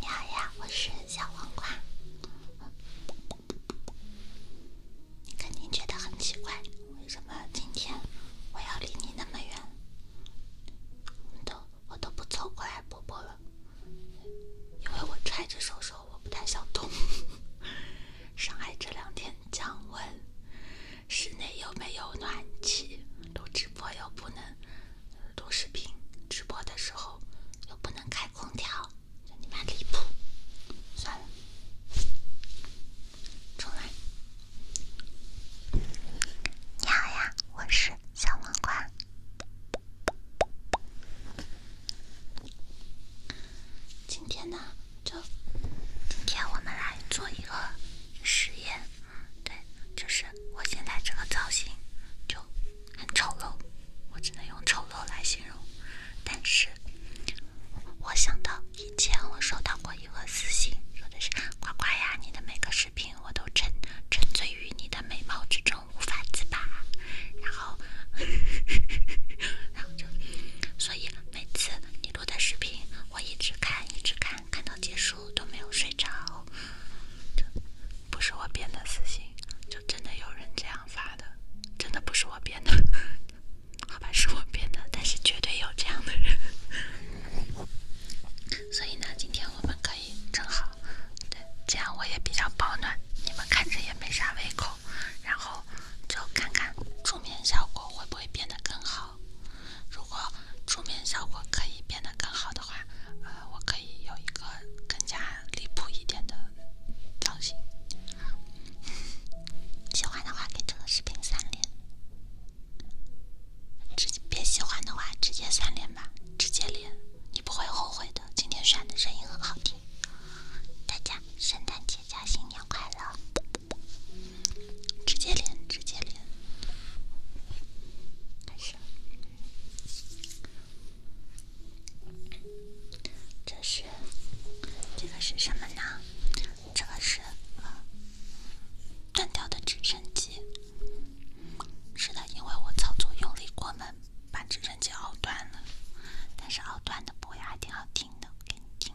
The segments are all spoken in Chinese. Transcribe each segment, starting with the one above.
你好呀，我是小黄瓜。你肯定觉得很奇怪，为什么今天我要离你那么远？都我都不凑过来播播了，因为我揣着手手，我不太想动。上 海这两天降温。室内又没有暖气，录直播又不能录视频，直播的时候又不能开空调，真他妈离谱！算了，重来。你好呀，我是小王冠。今天呢，就今天我们来做一个实验。对，就是我现在这个造型，就很丑陋，我只能用丑陋来形容。但是，我想到以前我收到过一个私信，说的是：“呱呱呀，你的每个视频我都沉沉醉于你的美貌之中，无法自拔。”然后，然后就，所以每次你录的视频，我一直看，一直看。看到结束都没有睡着，这不是我编的私信，就真的有人这样发的，真的不是我编的，好吧，是我编的，但是绝对有这样的人。所以呢，今天我们可以正好，对，这样我也比较保暖，你们看着也没啥胃口，然后就看看助眠效果会不会变得更好。如果出面效果可以变得更好的话，呃，我可以有一个更加离谱一点的造型。喜欢的话给这个视频三连，直接别喜欢的话直接三连吧，直接连，你不会后悔的。今天选的声音很好听，大家圣诞节加新年快乐！直接连，直接连。开始。这是这个是什么呢？这个是断掉的直升机。是的，因为我操作用力过猛，把直升机拗断了。但是拗断的波也还挺好听的，给你听。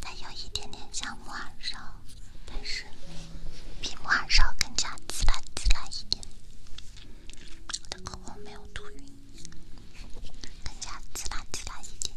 它有一点点像木耳烧，但是比木耳烧更加自然、自然一点。我的口红没有涂匀，更加自然、自然一点。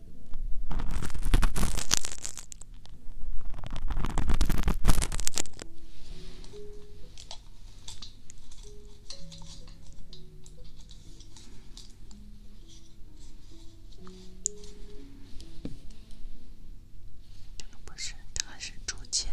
这个不是，这个是竹签。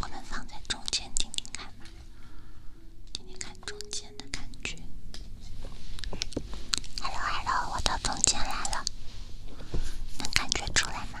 我们放在中间听听看嘛，听听看中间的感觉。Hello Hello，我的中间来了，能感觉出来吗？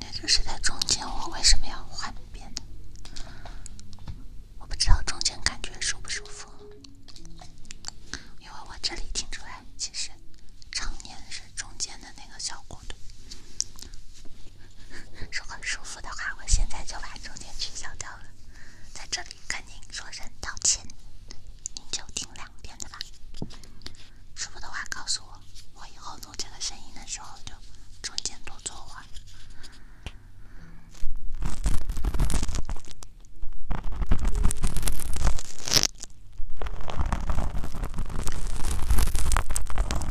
那就是在中间，我为什么要换边？我不知道中间感觉舒不舒服，因为我这里听出来，其实常年是中间的那个小骨头。如果舒服的话，我现在就把中间取消掉了，在这里跟您说声道歉，您就听两边的吧。舒服的话告诉我，我以后录这个声音的时候就中间多做会儿。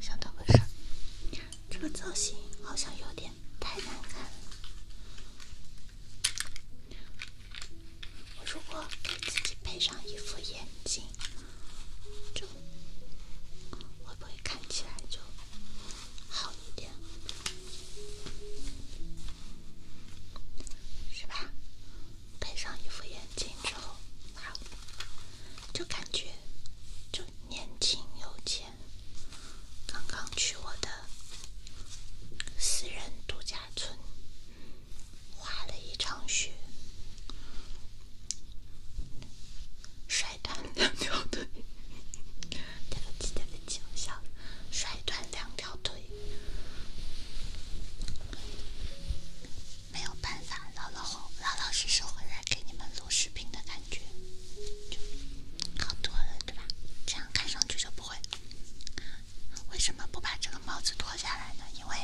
想到个事这个造型好像有点太难看了。我如果给自己配上一副眼镜。就会不会看起来就好一点，是吧？戴上一副眼镜之后，就感觉就年轻有钱。刚刚去我的私人度假村滑了一场雪。甩断两条腿，对不起，对不起，我笑。摔断两条腿，没有办法，老老老老实实回来给你们录视频的感觉。好多了，对吧？这样看上去就不会。为什么不把这个帽子脱下来呢？因为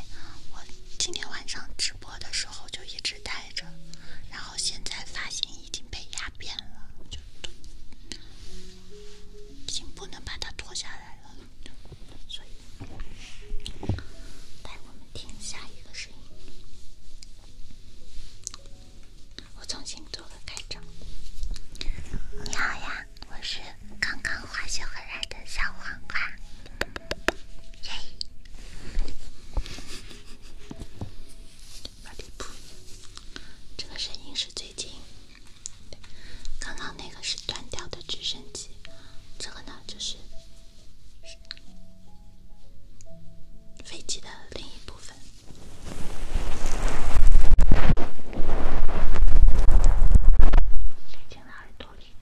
我今天晚上直播的时候就一直。待着，然后现在发型已经被压扁了，就都已经不能把它脱下来了，所以，带我们听下一个声音。我重新做个开场。你好呀，我是刚刚滑雪回来的小黄瓜。巴里布，这个声音是最近，刚刚那个是断掉的直升机，这个呢就是飞机的另一部分，飞进了耳朵里。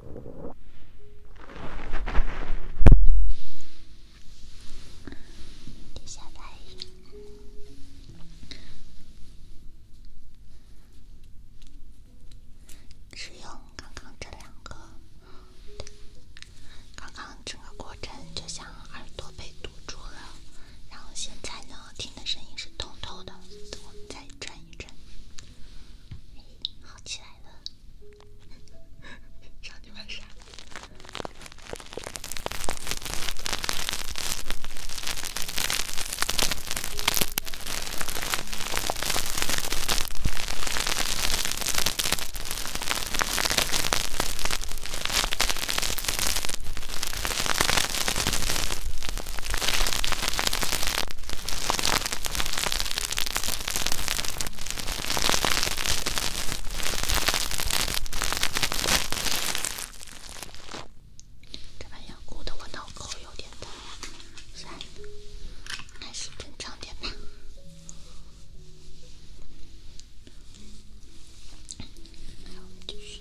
接下来，只用刚刚这两个。刚刚整个过程就像耳朵被堵住了，然后现在呢，听的声音是通透的。我们再转一转。好起来了。这玩意鼓得我脑壳有点疼，还是正常点吧。来，我们继续。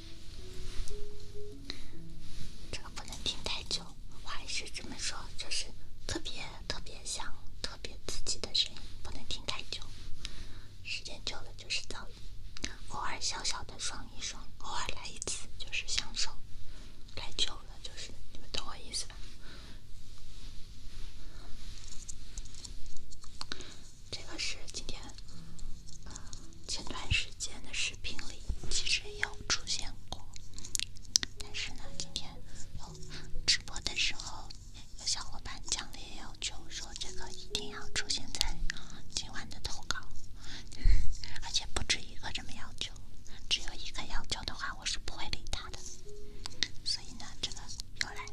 这个不能听太久，我还是这么说，就是特别特别想特别自己的声音，不能听太久。时间久了就是噪音，偶尔小小的爽一爽，偶尔来一次就是享受，来久了就是，你们懂我意思吧？这个是今天前段时间的视频里其实有出现过，但是呢，今天有直播的时候有小伙伴强烈要求说这个一定要出现在今晚的投稿，而且不止一个这么要求，只有一个要求的话我是不会理他的，所以呢，这个又来了。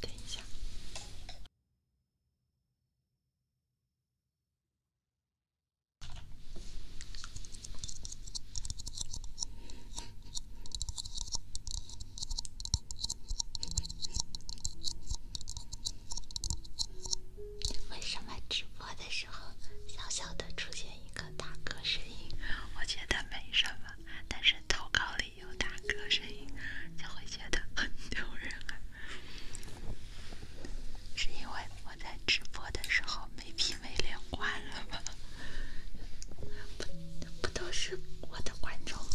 等一下，为什么直播的时候，小小的出现一个打嗝声音？我觉得没什么，但是投稿里。有打嗝声音，就会觉得 很丢人啊！是因为我在直播的时候没皮没脸关了吗？不 不都是我的观众吗？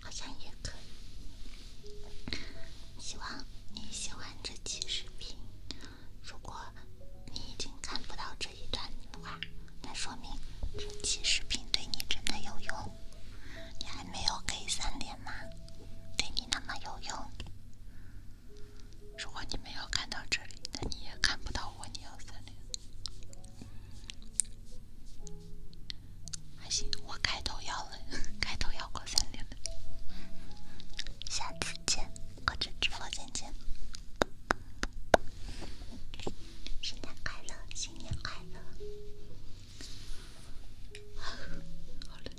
好像也可以。希望你喜欢这期视频。如果你已经看不到这一段的话，那说明这期视频对你真的有用。你还没有给三连吗？对你那么有用？如果你没有看到这里，那你也看不到我。你要三连，还行，我开头要了，开头要过三连了。下次见，或者直播间见。新年快乐，新年快乐。好嘞。